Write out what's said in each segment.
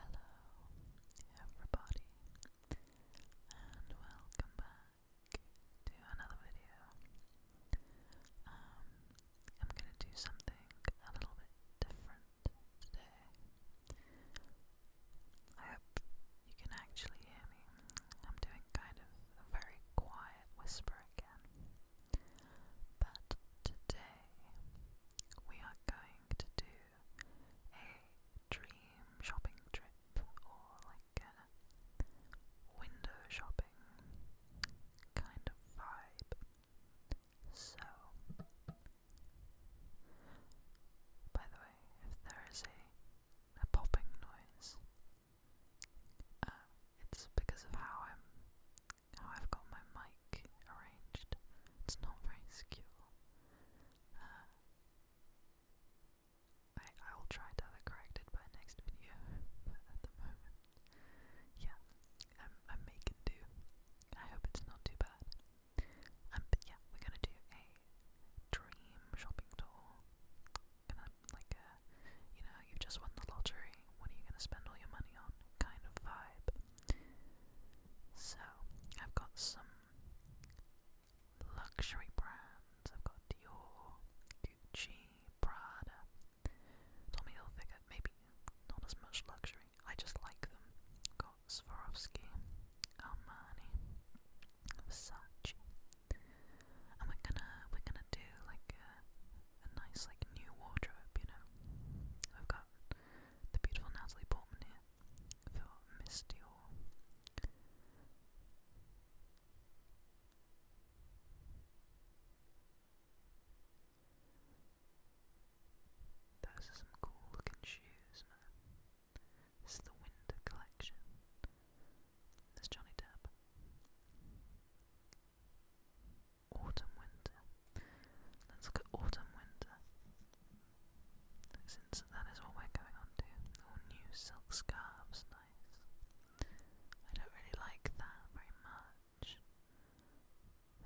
Hello, everybody, and welcome back to another video. Um, I'm gonna do something a little bit different today. I hope you can actually hear me. I'm doing kind of a very quiet whisper again. But today we are going to do a dream shopping trip or like a window shopping kind of vibe. So, by the way, if there is a, a popping noise, uh, it's because of how I'm how I've got my mic arranged. It's not very secure. Uh, I, will try to have it corrected by next video, at the moment, yeah, I'm, making do. I hope it's not too bad. Um, yeah, we're gonna do a dream shopping tour. Gonna, like, uh, you know, you've just won the lottery, what are you gonna spend all your money on? Kind of vibe. So, I've got some luxury brands. I've got Dior, Gucci, Prada, Tommy Hilfiger. Maybe not as much luxury. I just like them. got Swarovski, Armani, Versace, and we're gonna we're gonna do like a nice like new wardrobe. You know, I've got the beautiful Natalie Portman here for Miss Dior. Those are some cool looking shoes, man. This is the winter collection. There's Johnny Depp autumn winter. Let's look at autumn winter. Since that is what we're going on to. new silk scarves, nice. I don't really like that very much.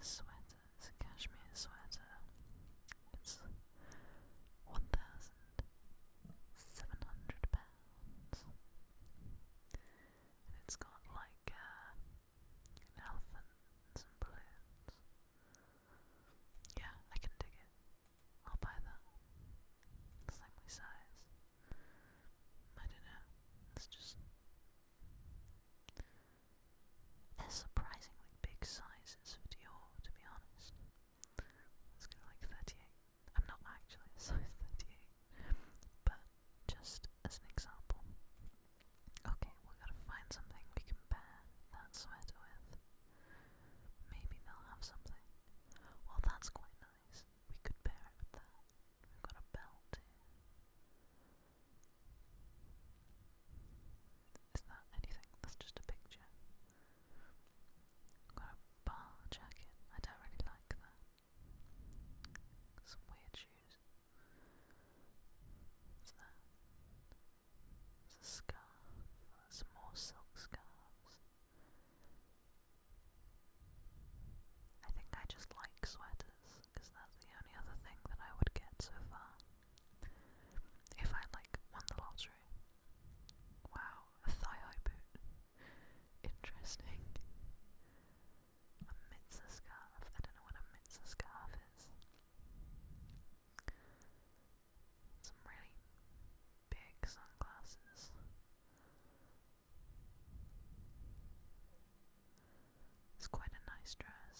Sweater, cashmere sweater. It's one thousand seven hundred pounds. And it's got like uh, and elephants and balloons. Yeah, I can dig it. I'll buy that. It's like size. I don't know. It's just. they surprisingly big sizes for Dior, to be honest. Let's go like 38. I'm not actually size 38. But just as an example. Okay, we got to find something we can pair that sweater with. Maybe they'll have something. Well, that's quite nice. We could pair it with that. We've got a belt here. Is that anything? That's just a picture. I've got a bar jacket. I don't really like that. Some weird shoes. It's a scarf. Some more silk scarves. I think I just like sweaters, because that's the only other thing that I would get so far. If I, like, won the lottery. Wow, a thigh-high boot. Interesting. A mitzvah scarf. I don't know what a mitzvah scarf is. Some really big sunglasses. It's quite a nice dress.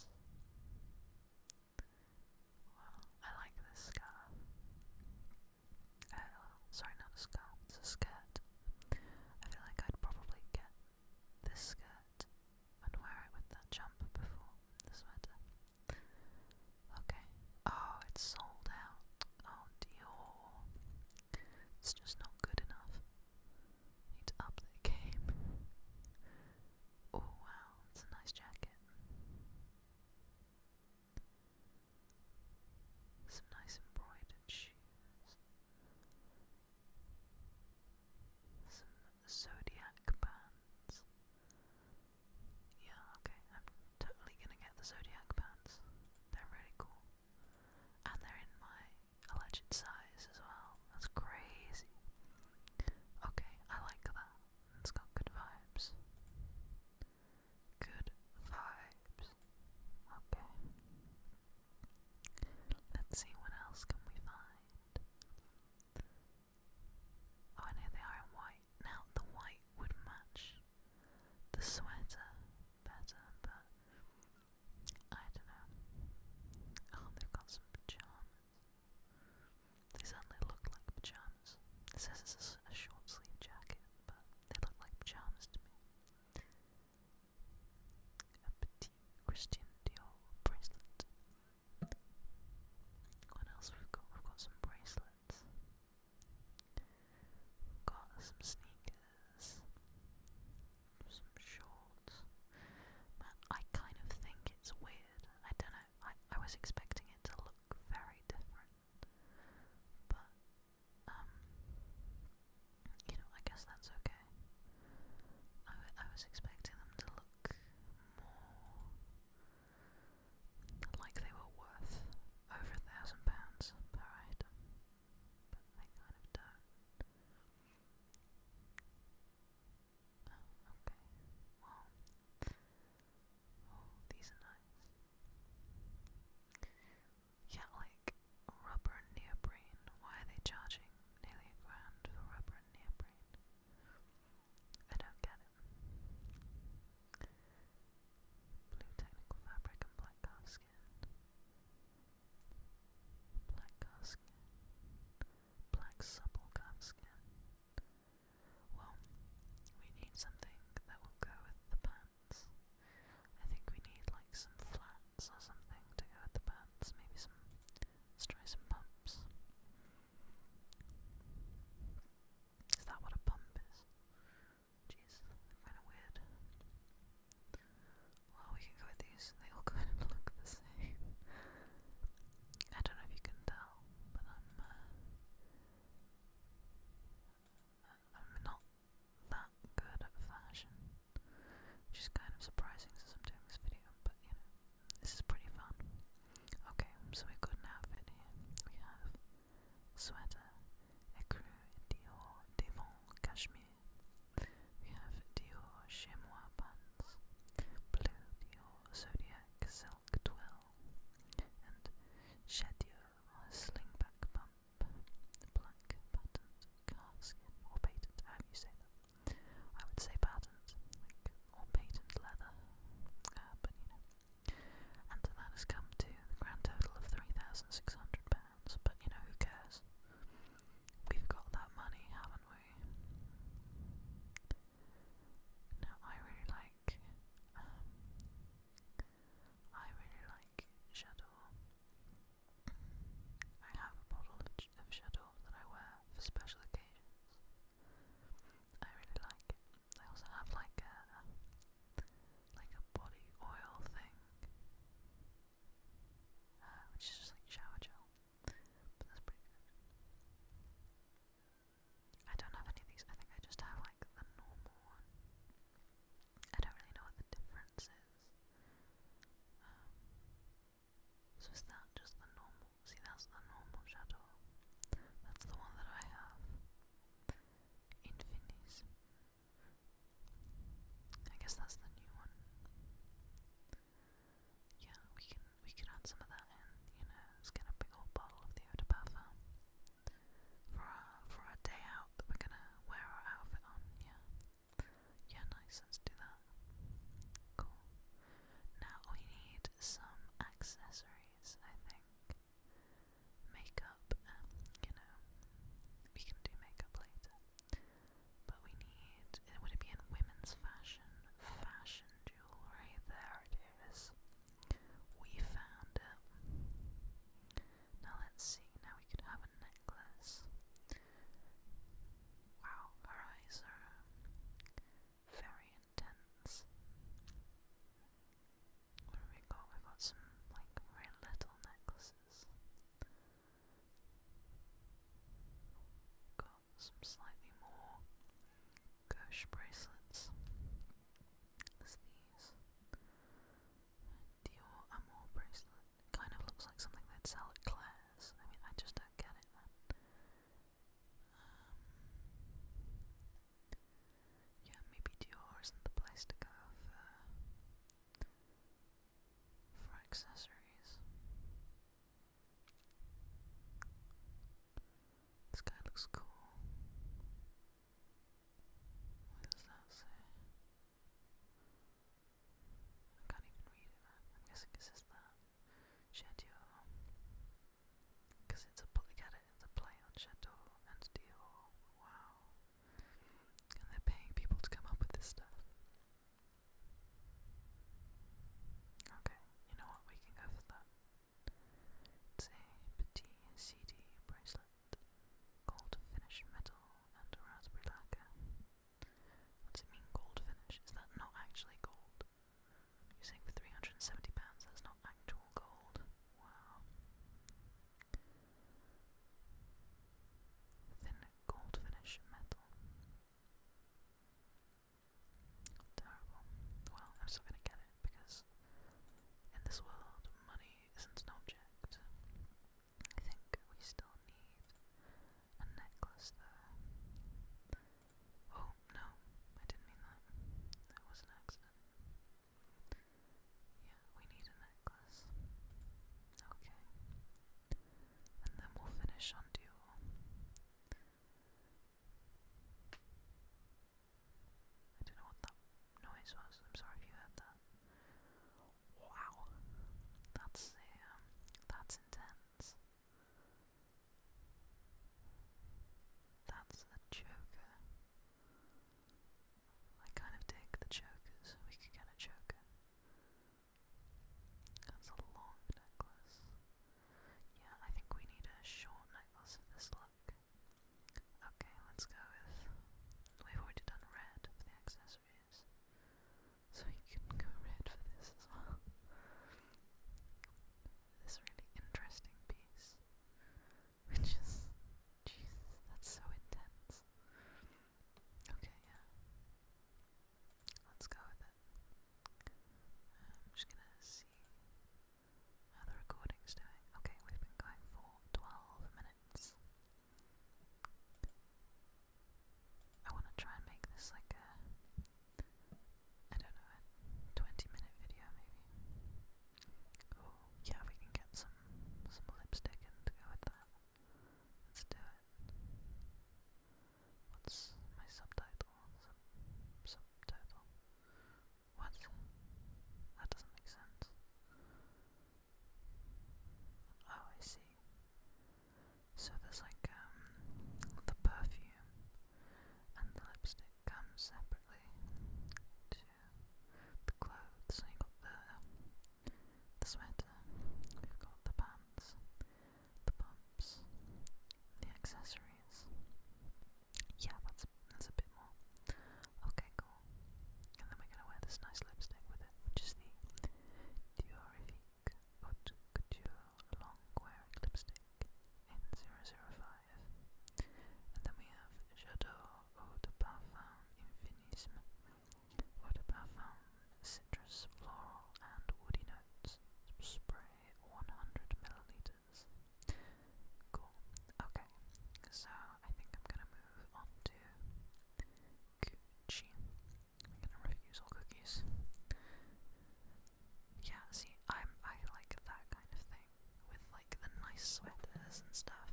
Well, I like this scarf. Oh, sorry, not a scarf, it's a skirt. I feel like I'd probably get this skirt and wear it with that jumper before the sweater. Okay. Oh, it's sold out. Oh, Dior. It's just not good enough. Need to up their game. Oh, wow, it's a nice jacket. Some nice embroidered shoes. Some zodiac bands. Yeah, okay, I'm totally gonna get the zodiac bands. They're really cool. And they're in my alleged size as well. That's crazy. Okay, I like that. It's got good vibes. Good vibes. Okay. Let's see what else can we find. Oh, and here they are in white. Now, the white would match the sweater better, but I don't know. Oh, they've got some pajamas. They certainly look like pajamas. It says a short sleeve jacket, but they look like pajamas to me a petite Christian Dior bracelet. What else we got? We've got some bracelets. got some sneakers, some shorts. Man, I kind of think it's weird. I don't know. I I was expecting it to look very different, but um, you know, I guess that's okay. I, w I was expecting them to look more like they were worth over a thousand pounds per item, but they kind of don't. Oh, okay. Well, oh, these are nice. Yet, rubber neoprene, why are they charging nearly a grand for rubber neoprene? I don't get it. Blue technical fabric and black calfskin. Black calfskin. Black supple calfskin. Well, we need something that will go with the pan. I think we need like some flats or something to go with the pants. Maybe some. Let's try some pumps. Is that what a pump is? Jeez, kind of weird. Well, we can go with these. They all kind of look the same. I don't know if you can tell, but I'm. Uh, I'm not that good at fashion, which is kind of surprising since I'm doing this video, but you know, this is pretty fun. Okay, so we've got an outfit here. We have sweater, écru, Dior, Devon, cashmere. We have Dior chamois pants, blue Dior zodiac silk twill, and Chet slingback pump blank patterns, calfskin, or patent, how you say them. I would say patterns, like, or patent leather, uh, but you know. And that has come to the grand total of £3,600, but you know, who cares? We've got that money, haven't we? Now, I really like, um, I really like Shadow. I have a bottle of, of that I wear for special occasions. I really like it. I also have like a like a body oil thing, uh, which is just like shower gel, but that's pretty good. I don't have any of these. I think I just have like the normal one. I don't really know what the difference is. Um, so is that just the normal? See, that's the normal shadow. That's the one that I have. Infinis. I guess that's the new one. Yeah, we can we can add some of that in. You know, let's get a big old bottle of the eau for our for our day out that we're gonna wear our outfit on. Yeah. Yeah, nice, let do that. Cool. Now we need some accessories, I think. Makeup, um, you know, we can do makeup later. But we need, would it be in women's fashion? Fashion jewellery, there it is. We found it. Now let's see, now we could have a necklace. Wow, her eyes are um, very intense. What we got? We've got some very little necklaces. Got some slightly more gauche bracelets. There's these Dior Amour bracelet. Kind of looks like something they'd sell at Claire's. I mean, I just don't get it, man. Um, yeah, maybe Dior isn't the place to go for, for accessories. This guy looks cool. What does that say? I can't even read it. I'm guessing it says that. Schedule. Because it's a get it, it's a play on Chateau and Dior. Wow. And they're paying people to come up with this stuff. Okay, you know what? We can go for that. It's a petit CD bracelet gold finish metal, and raspberry lacquer. What's it mean, gold finish? Is that not actually gold? You're saying for £370 that's not actual gold? Wow. Thin gold finish metal. Terrible. Well, I'm still gonna get it because in this world, money isn't an object. I think we still need a necklace though. Oh, no, I didn't mean that. That was an accident. Yeah, we need a necklace. Okay. And then we'll finish on dual. I don't know what that noise was. I'm sorry if you heard that. Wow, that's um, that's intense. That's the Joker. I kind of dig the Jokers. We could get a Joker. That's a long necklace. Yeah, I think we need a short necklace of this look. Okay, let's go with. We've already done red for the accessories. So you can go red for this as well. This really interesting piece. Which is. jeez, that's so intense. Okay, yeah. Let's go with it. Um, I'm just gonna see how the recording's doing. Okay, we've been going for 12 minutes. I want to try and make this like a, I don't know, a 20 minute video maybe. Oh, yeah, we can get some, some lipstick in to go with that. Let's do it. What's my subtitle? subtitle. What? That doesn't make sense. Oh, I see. So there's like um the perfume and the lipstick comes separately to the clothes. So you got the the sweater, we've got the pants, the pumps, the accessories. Yeah, that's that's, a bit more. Okay, cool. And then we're going to wear this nice lipstick with it, which is the Diorifique Couture Long Wearing Lipstick in 005. And then we have J'adore Eau de Parfum Infinisme. Eau de Parfum Citrus, Floral, and Woody Notes. Spray 100ml. Cool. Okay, so I think I'm gonna move on to Gucci. I'm gonna refuse all cookies. Yeah, see, i I like that kind of thing with like the nice sweaters and stuff.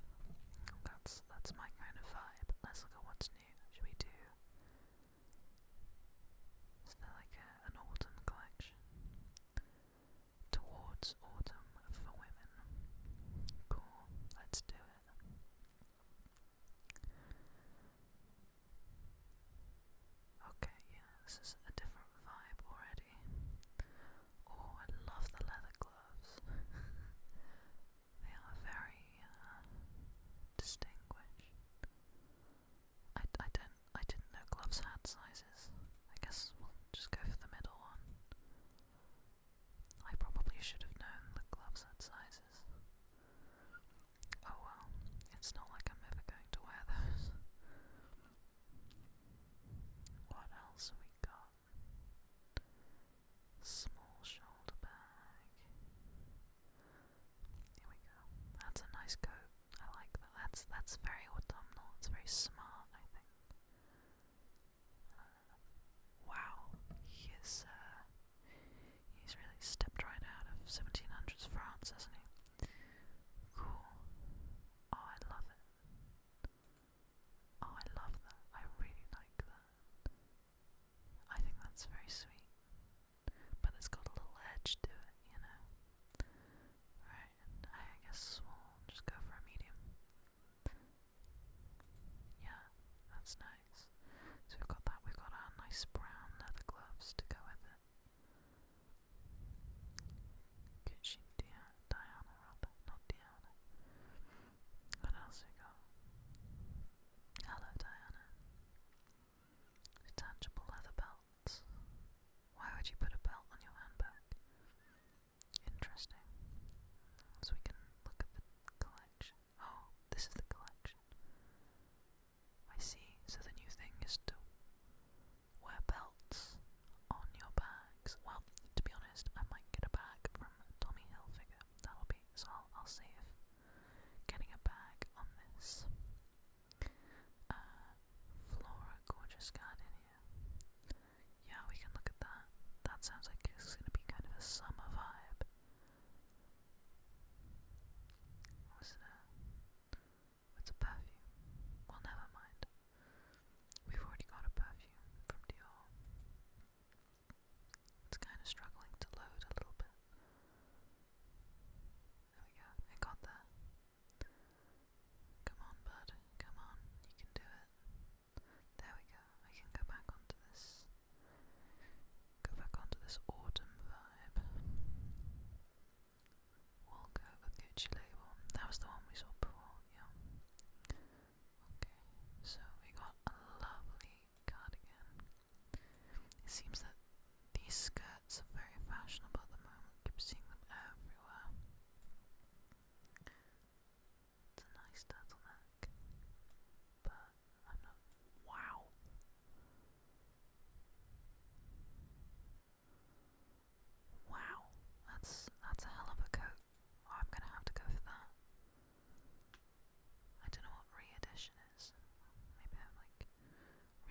That's that's my kind of vibe. Let's look at what's new. Should we do? Is there like an autumn collection? Towards Autumn for Women. Cool, let's do it. Okay, yeah, this is a different vibe already. Oh, I love the leather gloves. they are very uh, distinguished. I, I don't I didn't know gloves had sizes. I guess we'll just go for the middle one. I probably should have known the gloves had sizes. Oh well, it's not like I'm ever going to wear those. What else we got? Small shoulder bag. Here we go. That's a nice coat. I like that. That's that's very autumnal. It's very smart, I think. Wow, he uh, he's really stepped right out of 1700s France, hasn't he? Cool. Oh, I love it. Oh, I love that. I really like that. I think that's very sweet. But it's got a little edge to it, you know? Right, I guess we just go for a medium. Yeah, that's nice. So we've got that, we've got our nice brown leather gloves to go with it. Could she Dia Diana rather, not Diana. What else we got? Hello Diana. Detachable leather belts. Why would you put a belt on your handbag? Interesting. So we can look at the collection. Oh, this is the collection. I see. So the new thing is to wear belts on your bags. Well, to be honest, I might get a bag from Tommy Hilfiger. That'll be so. I'll, see if getting a bag on this. Uh, Flora, gorgeous garden here. Yeah, we can look at that. That sounds like it's going to be kind of a summer vibe. Or a... perfume. Well, never mind. We've already got a perfume from Dior. It's kind of struggling to load a little bit. There we go. It got there. Come on, bud. Come on. You can do it. There we go. I can go back onto this. Go back onto this autumn vibe. We'll go Gucci label. That was the one we saw before, yeah. Okay, so we got a lovely cardigan. It seems that these skirts are very fashionable at the moment. keep seeing them everywhere. It's a nice turtleneck, but I'm not. Wow! Wow, that's that's a hell of a coat. I'm gonna have to go for that. I don't know what re is. Maybe I'm like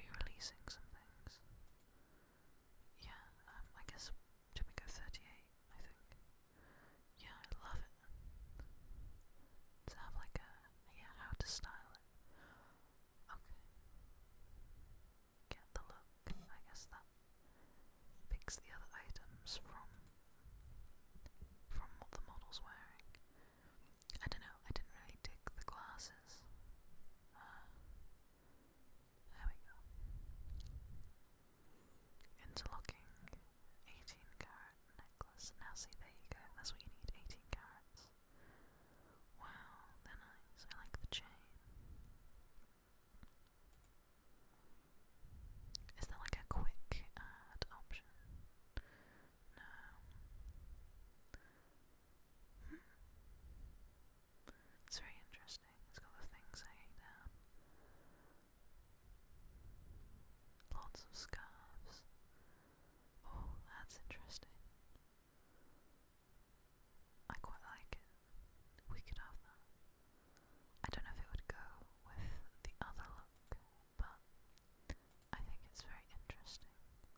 re-releasing some things. Yeah, um, I guess Demico 38, I think. Yeah, I love it. To have like a, yeah, how to style it. Okay. Get the look, I guess that picks the other items from from what the model's wearing. I don't know, I didn't really dig the glasses. Uh, there we go. Interlocking 18 carat necklace. Now see, there you go. That's what you need, 18 carats. Wow, they're I like the chain. Is there like a quick add option? No. Hmm. It's very interesting. It's got the things hanging down. Lots of scarves. Oh, that's interesting. I quite like it. We could have that. I don't know if it would go with the other look, but I think it's very interesting.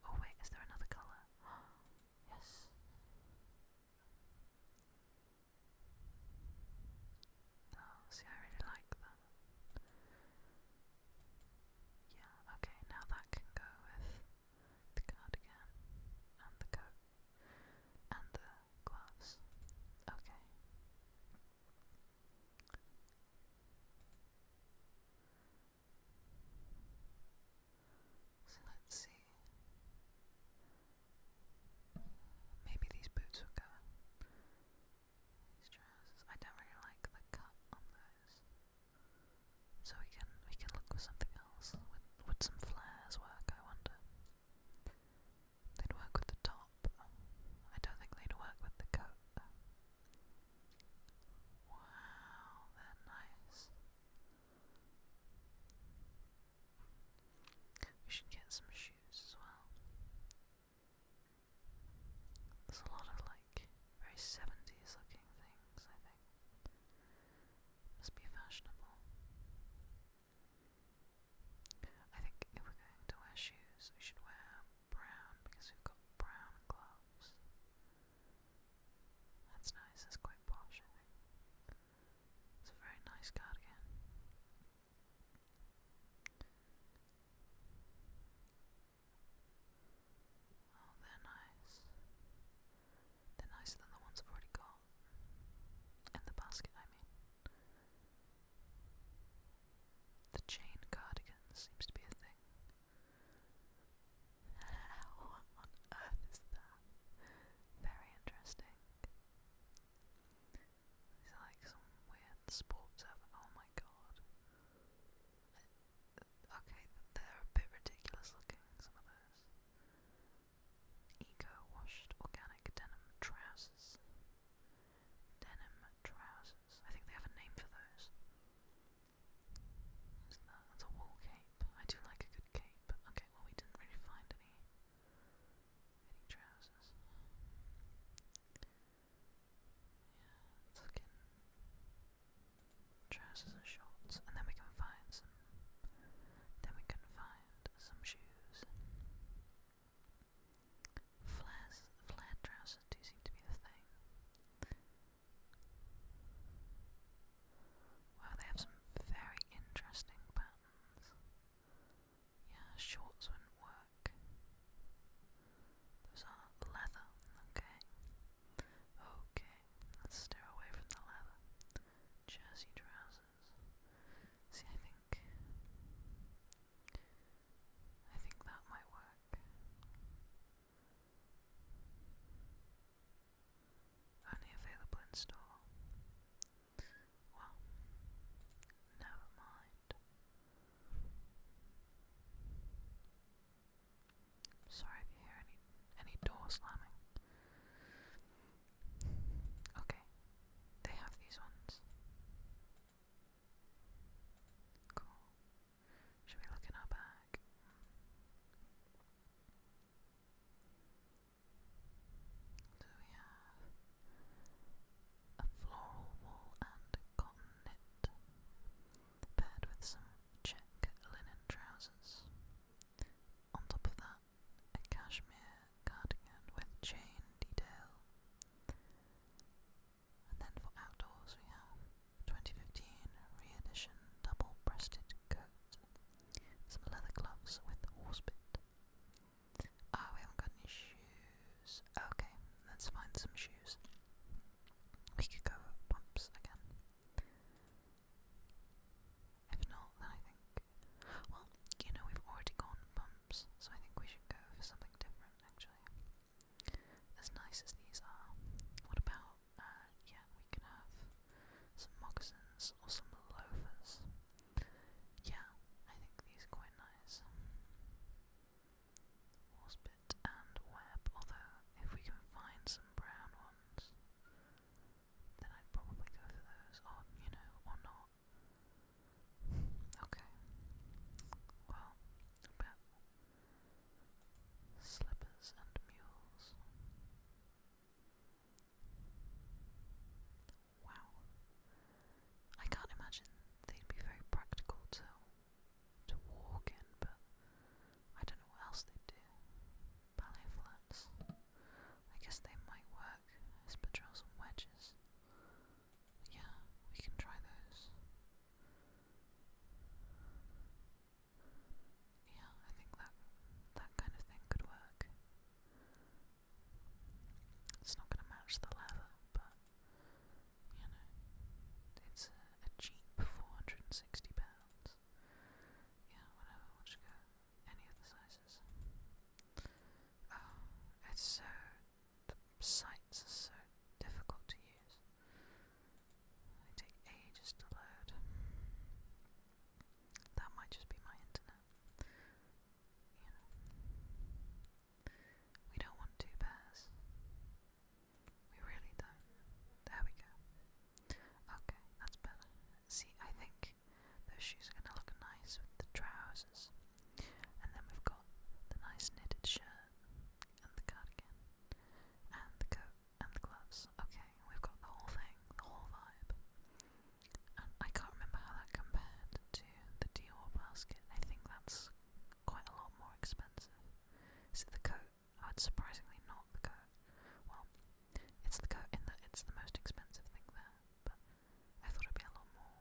Oh wait, is there another colour? yes. Oh, see, I really like that. Yeah, okay, now that can go with the cardigan and the coat and the gloves. Okay. So let's see. Maybe these boots will go. These trousers. I don't really like the cut on those. So we can we can look for something else. Would, would some flares work? I wonder. They'd work with the top. I don't think they'd work with the coat. Wow, they nice. We should get some shoes as well. There's a lot of like very 70s looking things, I think. Must be fashionable. I think if we're going to wear shoes, we should wear brown because we've got brown gloves. That's nice, that's quite posh, it's a very nice cardigan. Oh, they're nice. They're nicer than the ones I've already got. In the basket, I mean. The chain cardigan seems to be a thing. What on earth is that? Very interesting. These like some weird sports oh my god. Okay, they're a bit ridiculous looking, some of those. Eco washed organic denim trousers. Denim trousers. I think they have a name for those. Isn't that? That's a wool cape. I do like a good cape. Okay, well, oh, we didn't really find any trousers. Yeah, it's looking trousers and shorts, and then we can find some. Then we can find some shoes. Flares, trousers do seem to be the thing. Well, they have some very interesting patterns. Yeah, shorts wouldn't work. Those are leather, okay. Okay, let's steer away from the leather. Jersey trousers. See, I think. I think that might work. Only available in store. Well, never mind. Sorry if you hear any any door slamming. Okay, they have these ones. Cool. Should we look in our bag? So we have a floral wool and cotton knit, paired with some check linen trousers. On top of that, a cashmere cardigan with chain detail. And then for outdoors, we have 2015 re double-breasted coat some leather gloves with horsebit. Ah, we haven't got any shoes. Okay, let's find some shoes. We could go pumps again. If not, then I think. Well, you know, we've already gone pumps, so I think we should go for something different, actually. As nice as these are, what about uh, yeah, we can have some moccasins or some loafers. Yeah, I think these are quite nice. Horsebit and web, although if we can find some brown ones, then I'd probably go for those, or, you know, or not. Okay. Well, about slippers and mules. Wow. I can't imagine they'd be very practical to to walk in, but I don't know what else they do. Ballet flats. I guess they might work as and wedges. Yeah, we can try those yeah, I think that that kind of thing could work. It's not going to match the leather, but you know, it's a, cheap 460 pounds. Yeah, whatever. We'll go any of sizes. Oh, it's so the sites are so difficult to use. They take ages to load. That might just be my internet. You know. We don't want two pairs. We really don't. There we go. Okay, that's better. See, I think those shoes are gonna look nice with the trousers. And then we've got the nice knitted shirt and the cardigan and the coat and the gloves. Okay, we've got the whole thing, the whole vibe. And I can't remember how that compared to the Dior basket. I think that's quite a lot more expensive. Is it the coat? Oh, it's surprisingly not the coat. Well, it's the coat in that it's the most expensive thing there, but I thought it'd be a lot more.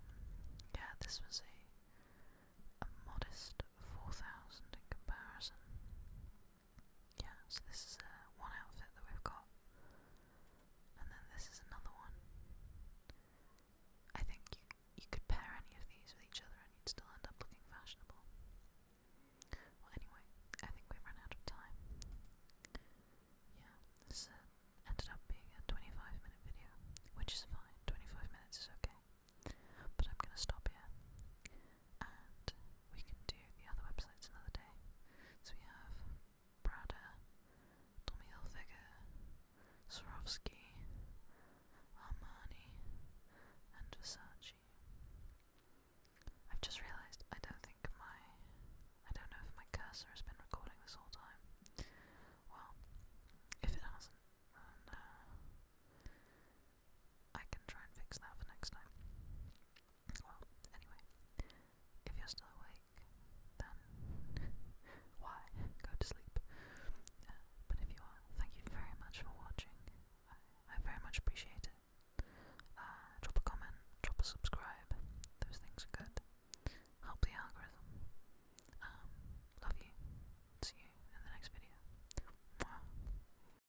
Yeah, this was a a modest four thousand in comparison. Yeah, so this is uh, one outfit that we've got. And then this is another one. I think you you could pair any of these with each other and you'd still end up looking fashionable. Well anyway, I think we've run out of time. Yeah, this uh, ended up being a 25 minute video, which is fine. 25 minutes is okay. But I'm gonna stop here and we can do the other websites another day. So we have Prada, Tommy Hilfiger, Swarovski, Armani, and Versace. I've just realised I don't think my I don't know if my cursor has been recording this whole time. Well, if it hasn't, uh, I can try and fix that for next time. Well, anyway, if you're still awake, then why? Go to sleep. Uh, but if you are, thank you very much for watching. I, very much appreciate it. Uh, drop a comment, drop a subscribe. Those things are good. Help the algorithm. Um, love you. See you in the next video. Mwah.